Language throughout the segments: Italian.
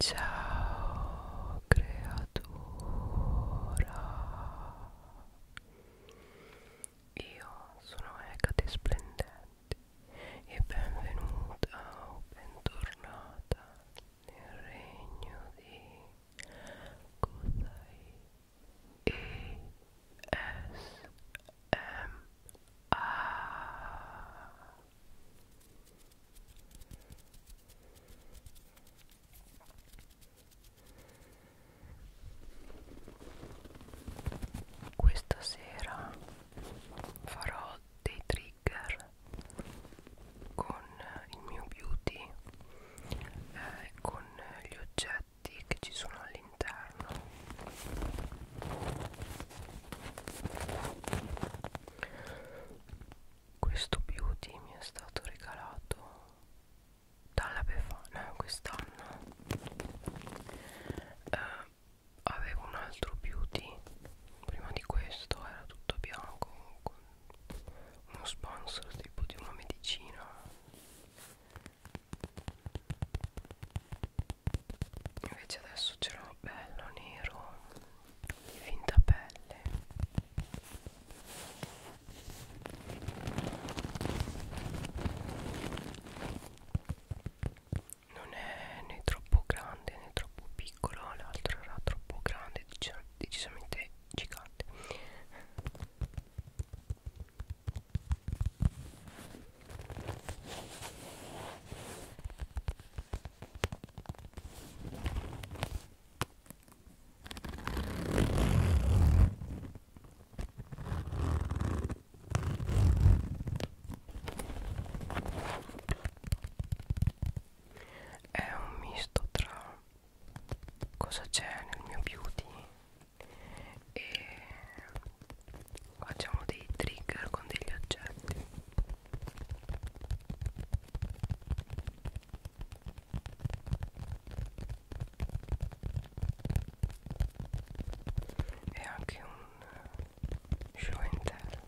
Ciao creatura Io sono Ecate Splendente e benvenuta o bentornata nel regno di Kusai E S M A questa sera farò dei trigger con il mio beauty eh, con gli oggetti che ci sono all'interno questo beauty mi è stato regalato dalla Befana quest'anno eh, avevo un altro beauty prima di questo era tutto bianco con uno sponsor tipo di una medicina invece adesso ce l'ho bello nero di finta pelle non è né troppo grande né troppo piccolo l'altro era troppo grande decis decisamente gigante è un misto tra cosa c'è nel mio beauty e facciamo dei trigger con degli oggetti e anche un eh, show and tell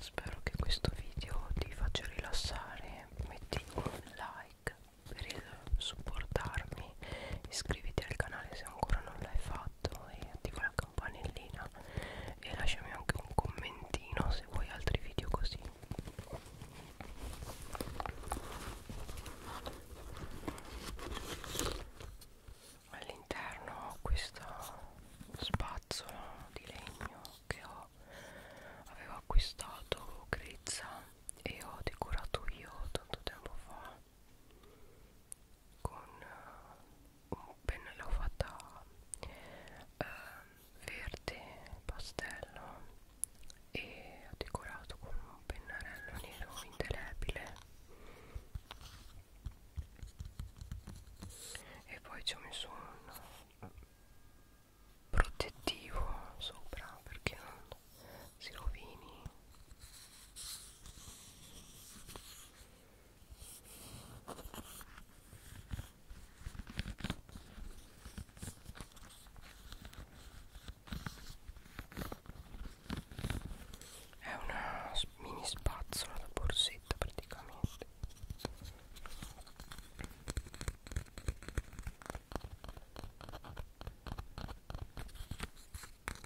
spero che questo video ti faccia rilassare metti un like per il supportarmi iscriviti al canale se ancora non l'hai fatto e attiva la campanellina e lasciami anche un commentino se vuoi altri video così all'interno ho questa spazzola di legno che ho avevo acquistato grezza e ho decorato io tanto tempo fa con uh, un pennello fatta uh, eh, verde pastello e ho decorato con un pennarello nero indelebile e poi ci ho messo un eh, protettivo sopra perché non si rovini è una mini spazzola da borsetta praticamente.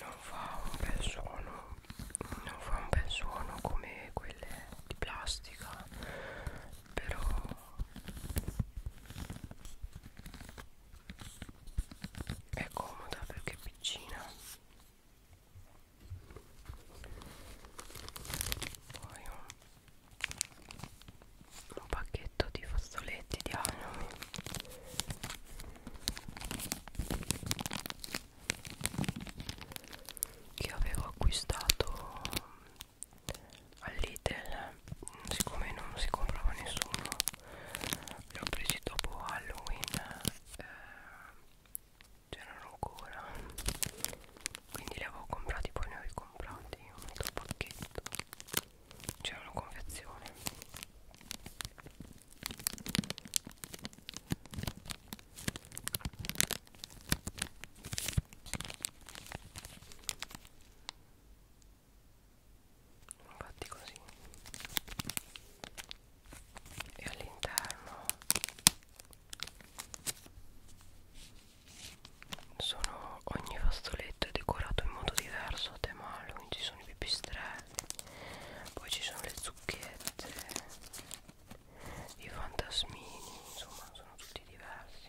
non fa un bel suono non fa un bel suono come quelle di plastica però è comoda perché è piccina poi un un pacchetto di fazzoletti di anami che avevo acquistato all'Itel siccome non si comprava nessuno li ho presi dopo Halloween eh, c'erano ancora quindi li avevo comprati poi ne ho ricomprati un altro pacchetto c'era una confezione infatti così e all'interno sono ogni fazzoletto è decorato in modo diverso a tema Halloween ci sono i pipistrelli poi ci sono le zucchette i fantasmini insomma sono tutti diversi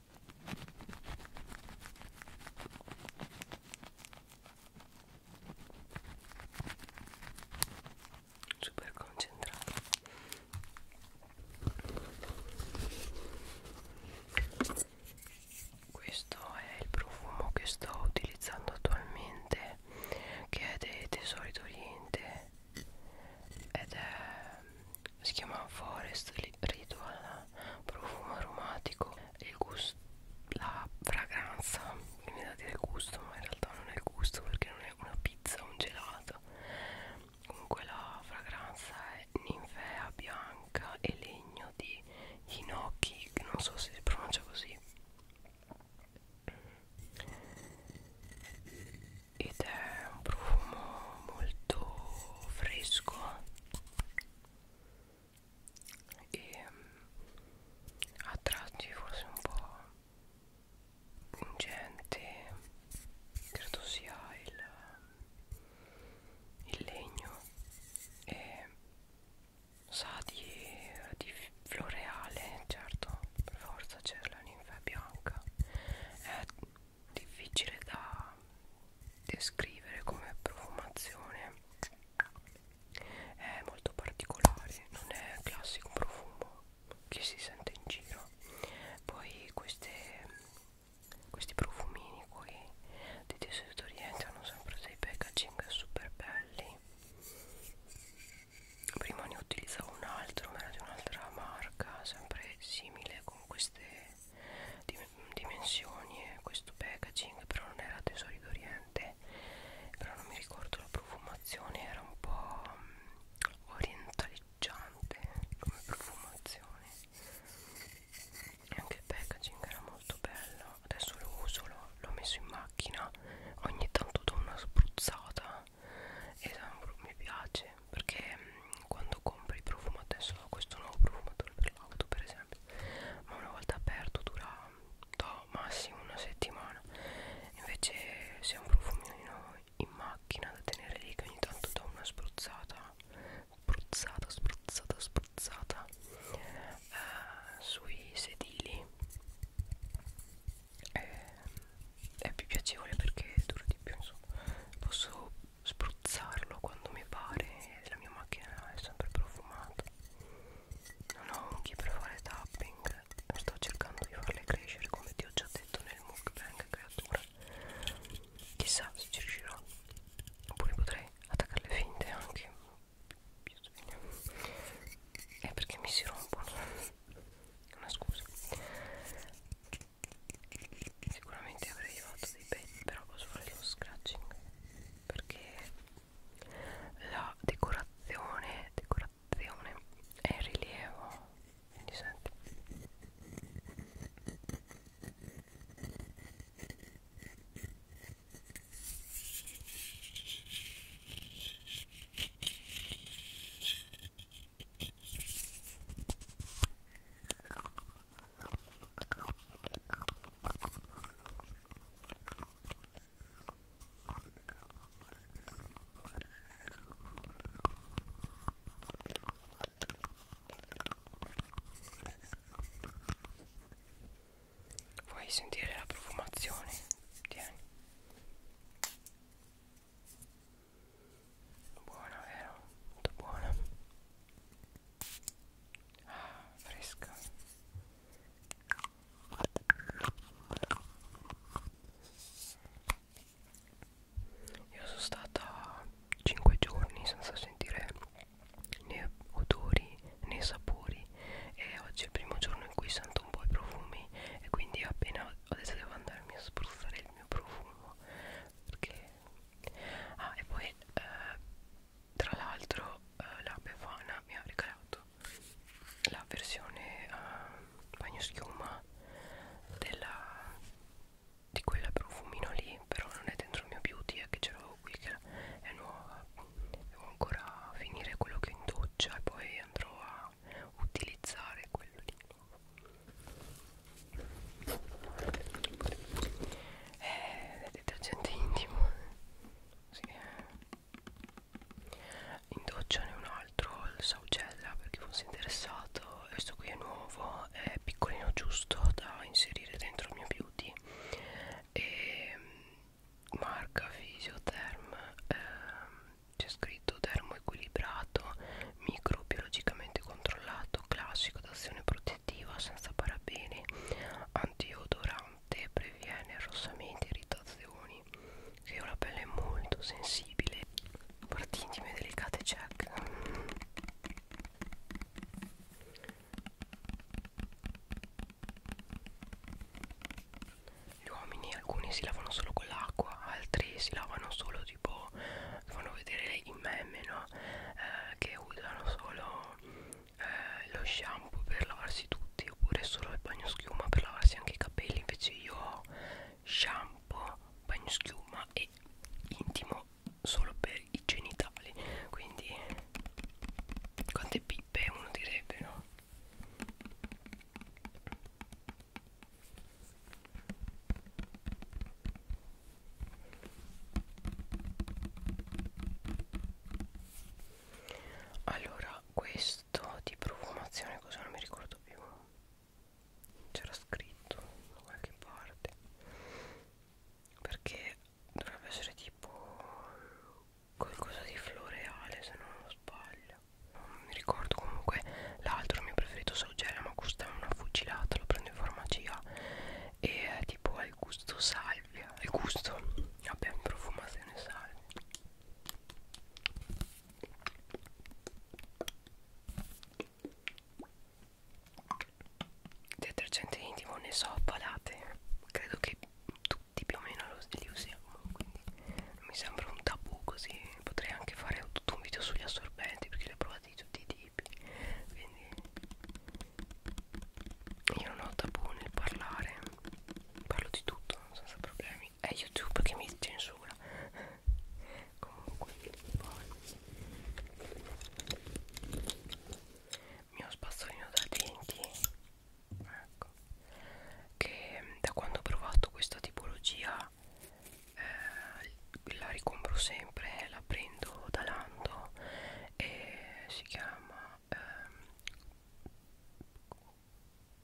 super concentrato questo è il profumo che sto utilizzando attualmente che è dei tesori d'oriente ed è si chiama Forest Ritual profumo aromatico il gusto la fragranza che mi da dire gusto ma in realtà non è il gusto perché non è una pizza un gelato comunque la fragranza è ninfea bianca e legno di ginocchi che non so se si pronuncia così ed è un profumo molto fresco e mm, a tratti forse un po' pungente credo sia il, mm, il legno e sa di, di floreale certo per forza c'è la ninfa bianca è eh, difficile da descrivere come profumazione è molto particolare non è il classico profumo che si sente in giro poi queste, questi profumini qui di desodoriente hanno sempre dei packaging super belli prima ne utilizzavo un altro ma era di un'altra marca sempre simile con queste dimensioni e questo packaging però non era tesori d'oriente però non mi ricordo la profumazione era un po' mm, orientaleggiante come profumazione e anche il packaging era molto bello adesso lo uso l'ho messo in macchina ogni tanto do una spruzzata e esatto, mi piace perché mm, quando compri il profumo adesso ho questo nuovo profumatore per l'auto per esempio ma una volta aperto dura to, massimo una settimana invece se è un profumino in macchina da tenere lì che ogni tanto do una spruzzata spruzzata spruzzata spruzzata eh, sui sedili è, eh, è più piacevole perché dura di più insomma posso spruzzarlo quando mi pare la mia macchina è sempre profumata non ho unghie per fare tapping sto cercando di farle crescere come ti ho già detto nel mukbang creatura chissà se ci riuscirò oppure potrei attaccarle finte anche è perché mi si rompono una scusa sicuramente avrei fatto dei pezzi però posso fare lo scratching perché la decorazione decorazione è in rilievo quindi senti Vuoi sentire la profumazione? Tieni. Buona, vero? Molto buona ah, fresca io sono stata 5 giorni senza sentire né odori né sapori e oggi è il primo giorno in cui sento un po' i profumi e quindi appena adesso devo andarmi a spruzzare il mio profumo perché ah e poi eh, tra l'altro eh, la Befana mi ha regalato la versione eh, bagnoschiuma della di quella profumino lì però non è dentro il mio beauty è che ce l'avevo qui che è nuova devo ancora finire quello che ho in doccia e poi andrò a utilizzare quello lì è eh, detergente intimo sì. in doccia ne un altro il saugella per chi fosse interessato questo qui è nuovo è piccolino giusto da inserire dentro il mio beauty e mm, marca Physiotherm ehm, c'è scritto termo equilibrato microbiologicamente controllato classico d'azione protettiva positiva senza parabeni antiodorante previene arrossamenti e irritazioni che una pelle molto sensibile parti intime delicate check gli uomini alcuni si lavano solo con l'acqua altri si lavano solo tipo fanno vedere i meme no? eh, che usano solo eh, lo shampoo per lavarsi tutti oppure solo il bagno schiuma per lavarsi anche i capelli invece io ho shampoo bagno schiuma e intimo solo per i genitali quindi quante pippe uno direbbe no allora questo di profumazione cosa non mi ricordo più c'era scritto da qualche parte perché dovrebbe essere tipo qualcosa di floreale se non sbaglio non mi ricordo comunque l'altro mio preferito saugella ma costa una fucilata lo prendo in farmacia e eh, tipo al gusto salvia al gusto vabbè profumazione salvia detergente intimo ne so palate credo che tutti più o meno li usiamo quindi non mi sembra un tabù così potrei anche fare tutto un video sugli assorbenti perché li ho provati tutti di tipi quindi io non ho tabù nel parlare parlo di tutto senza problemi è youtube che mi censura comunque poi mio spazzolino da denti ecco che da quando ho provato questa tipologia eh, la ricompro sempre la prendo da Lando e si chiama ehm,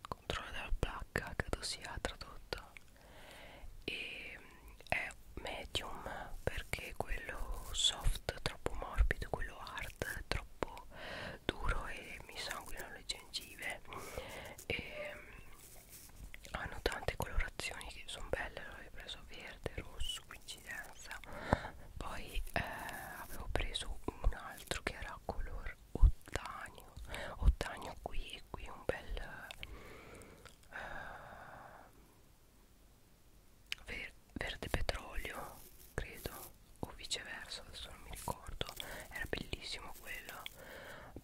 controllo della placca credo sia tradotto e è medium perché quello soft troppo morbido quello hard troppo duro e mi sanguinano le gengive e hanno tante colorazioni che sono belle avevo preso verde, rosso, coincidenza poi eh, avevo preso un altro che era color ottanio ottanio qui e qui un bel eh, ver verde petrolio credo o viceversa adesso non mi ricordo era bellissimo quello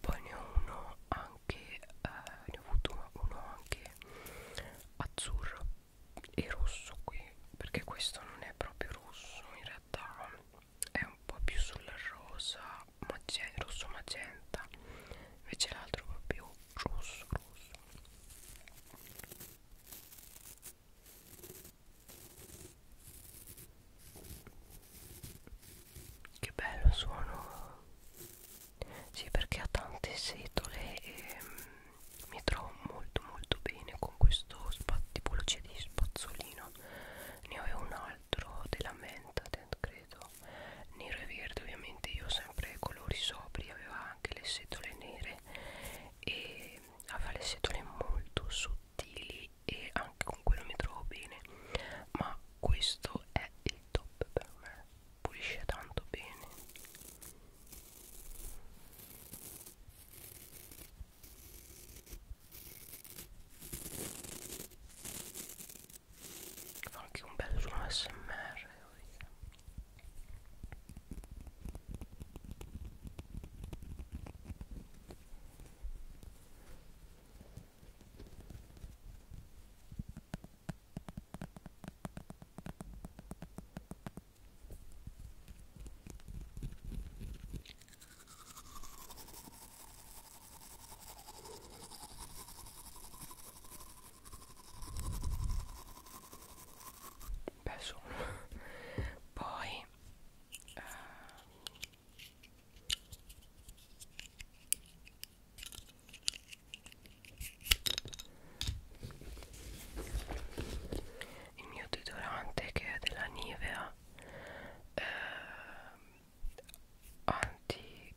poi ne ho uno anche anche eh, ne ho avuto uno, uno anche azzurro e rosso qui perché questo non è proprio rosso in realtà è un po' più sul rosa magenta, rosso magenta invece l'altro è proprio rosso rosso che bello suono sì perché ha tante setole e mm, mi trovo molto molto bene con questo tipologia di spazzolino ne avevo un altro della menta credo nero e verde ovviamente io sempre colori sobri aveva anche le setole nere e aveva le setole molto sottili e anche con quello mi trovo bene ma questo è il top per me pulisce tanto bene fa anche un bel suono smr Beh, sono poi eh, il mio deodorante che è della Nivea eh, anti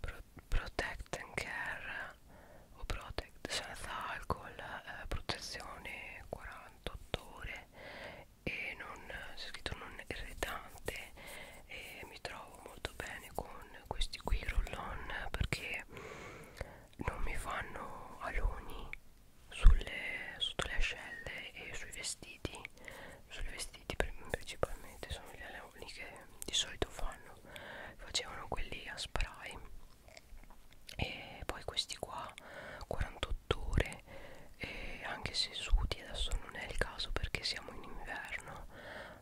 pro protect and care o protect senza alcol eh, protezione 48 ore e non c'è scritto non irritante e mi trovo molto bene con questi qui roll-on perché non mi fanno aloni sulle, sotto le ascelle e sui vestiti sui vestiti principalmente sono gli aloni che di solito fanno facevano quelli a spray e poi questi qua 48 ore e anche se sudi adesso non è il caso perché siamo in inverno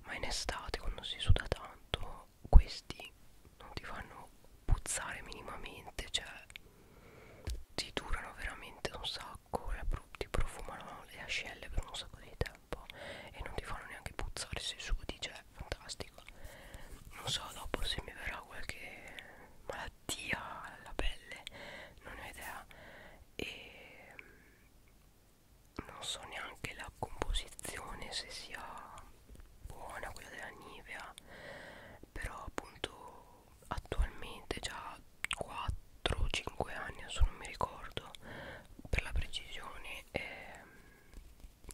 ma in estate quando si suda tanto questi non ti fanno puzzare minimamente cioè ti durano veramente un sacco ti profumano le ascelle per un sacco di tempo e non ti fanno neanche puzzare se sudi cioè fantastico non so dopo se mi verrà qualche malattia alla pelle non ho idea e non so neanche la composizione se sia buona quella della Nivea però appunto attualmente già 4 o 5 anni adesso non mi ricordo per la precisione eh,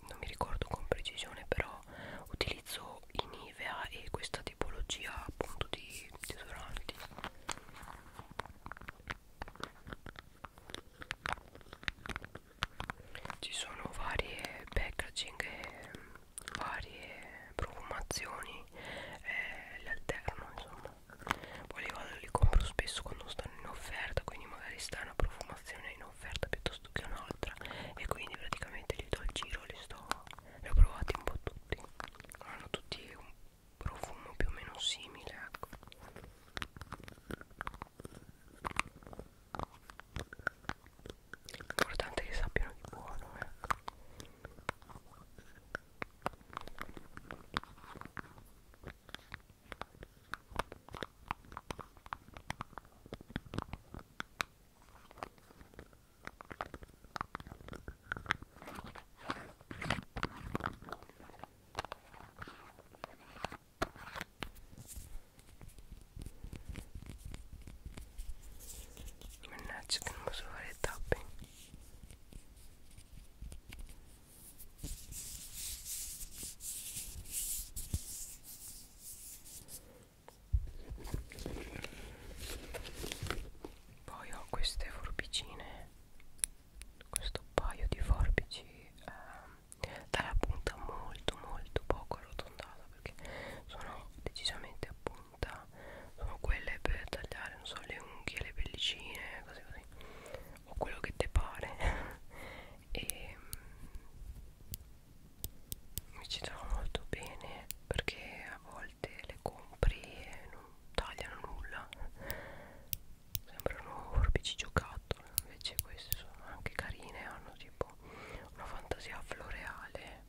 non mi ricordo con precisione però utilizzo i Nivea e questa tipologia appunto di desodoranti ci sono varie packaging e varie profumazioni eh, le alterno insomma poi li vado li compro spesso quando stanno in offerta quindi magari sta una profumazione in offerta piuttosto che un'altra e quindi praticamente li do al giro li sto li ho provati un po' tutti hanno tutti un profumo più o meno simile ecco l'importante è che sappiano di buono ecco Mannaggia che non posso fare il tapping poi ho queste forbicine questo paio di forbici eh, dalla punta molto molto poco arrotondata perché sono decisamente a punta sono quelle per tagliare non so le unghie le pellicine cose così o quello che te pare e mm, mi ci trovo molto bene perché a volte le compri e non tagliano nulla sembrano forbici giocattolo invece queste sono anche carine hanno tipo una fantasia floreale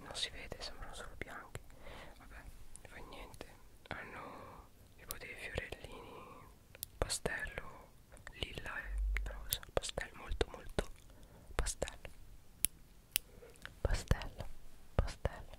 non si vede sembrano solo bianchi vabbè non fa niente hanno tipo dei fiorellini pastello lilla e rosa pastello molto molto pastello pastello pastello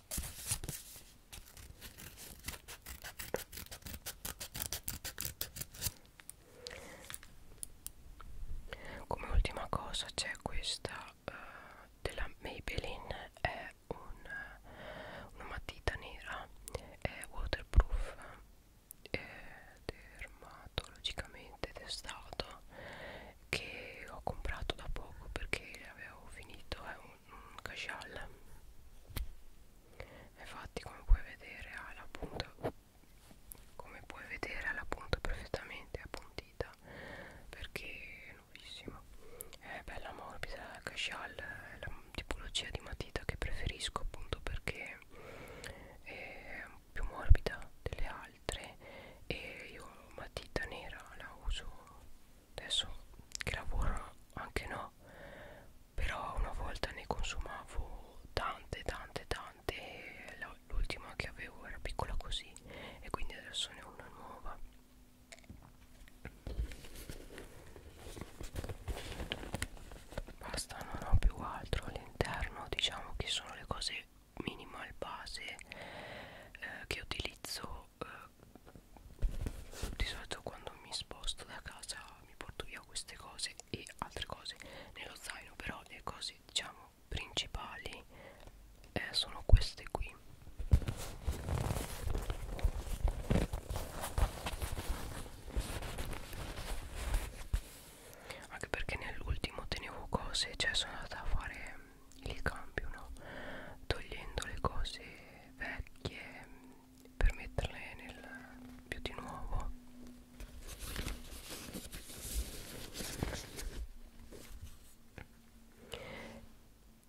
come ultima cosa c'è questa uh, della Maybelline è un, eh, una matita nera è waterproof è dermatologicamente testato che ho comprato da poco perché avevo finito è eh, un, un cashal infatti come puoi vedere ha la punta come puoi vedere ha la punta perfettamente appuntita perché è nuovissima è bella morbida la cashal è la tipologia di matita che preferisco appunto perché è più morbida delle altre altre e io una matita nera la uso adesso che lavoro anche no però una volta ne consumavo tante tante tante l'ultima che avevo era piccola così e quindi adesso ne ho una nuova basta non ho più altro all'interno diciamo che sono le cose minimal base eh, che utilizzo eh, di solito quando mi sposto da casa mi porto via queste cose e altre cose nello zaino però le cose diciamo principali eh, sono queste qui anche perché nell'ultimo tenevo cose cioè sono andata a fare il cambio no? togliendo le cose vecchie per metterle nel più di nuovo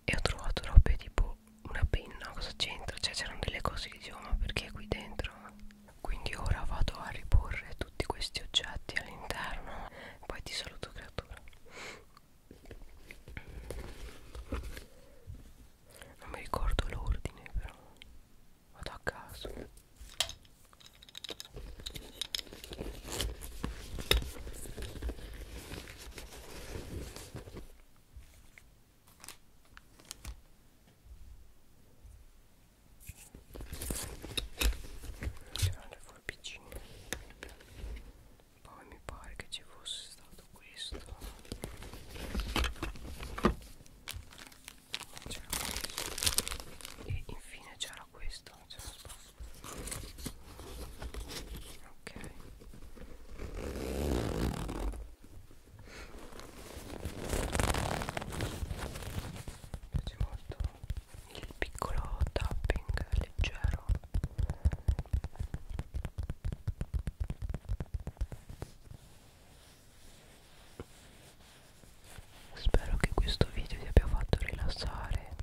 e ho trovato robe tipo una penna cosa c'entra cioè c'erano delle cose che dicevo ma perché qui dentro quindi ora vado a riporre tutti questi oggetti all'interno poi ti saluto creatura non mi ricordo l'ordine però Vado a caso C'erano le forbicine poi mi pare che ci fosse stato questo c'era questo e infine c'era questo ok mi piace molto il piccolo tapping leggero spero che questo video ti abbia fatto rilassare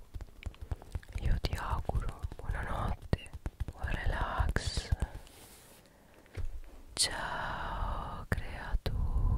io ti auguro buonanotte buon relax ciao creatura